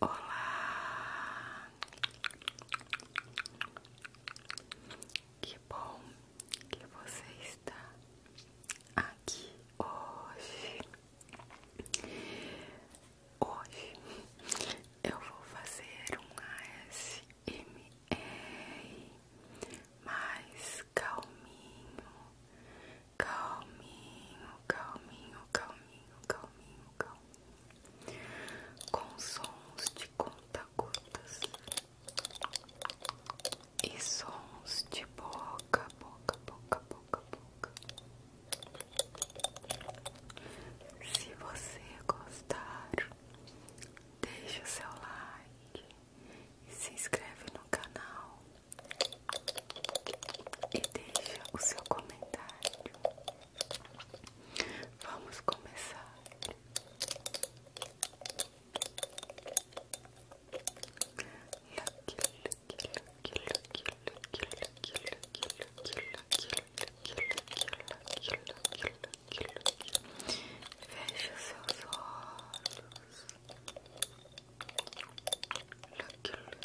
Olá! Que bom que você está aqui hoje. Hoje eu vou fazer um ASMR mais calminho, calminho, calminho, calminho, calminho com sons de conta-gotas e sons de boca, boca, boca, boca, boca. Se você gostar, deixa o seu like se inscreve no canal e deixa o seu comentário. Vamos começar. Lucky, lucky, lucky, lucky, lucky, lucky, lucky, lucky, lucky, lucky, lucky, lucky, Feche seus olhos. Lucky,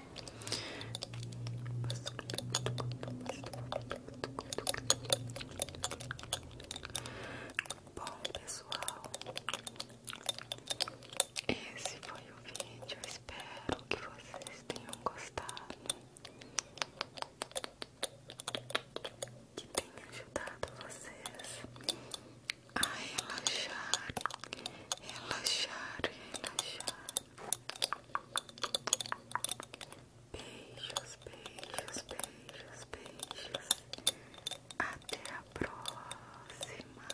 Bom, pessoal, esse foi o vídeo. espero que vocês tenham gostado, que tenha ajudado vocês a relaxar, relaxar, relaxar, Beijos, beijos, beijos, beijos. Até a próxima.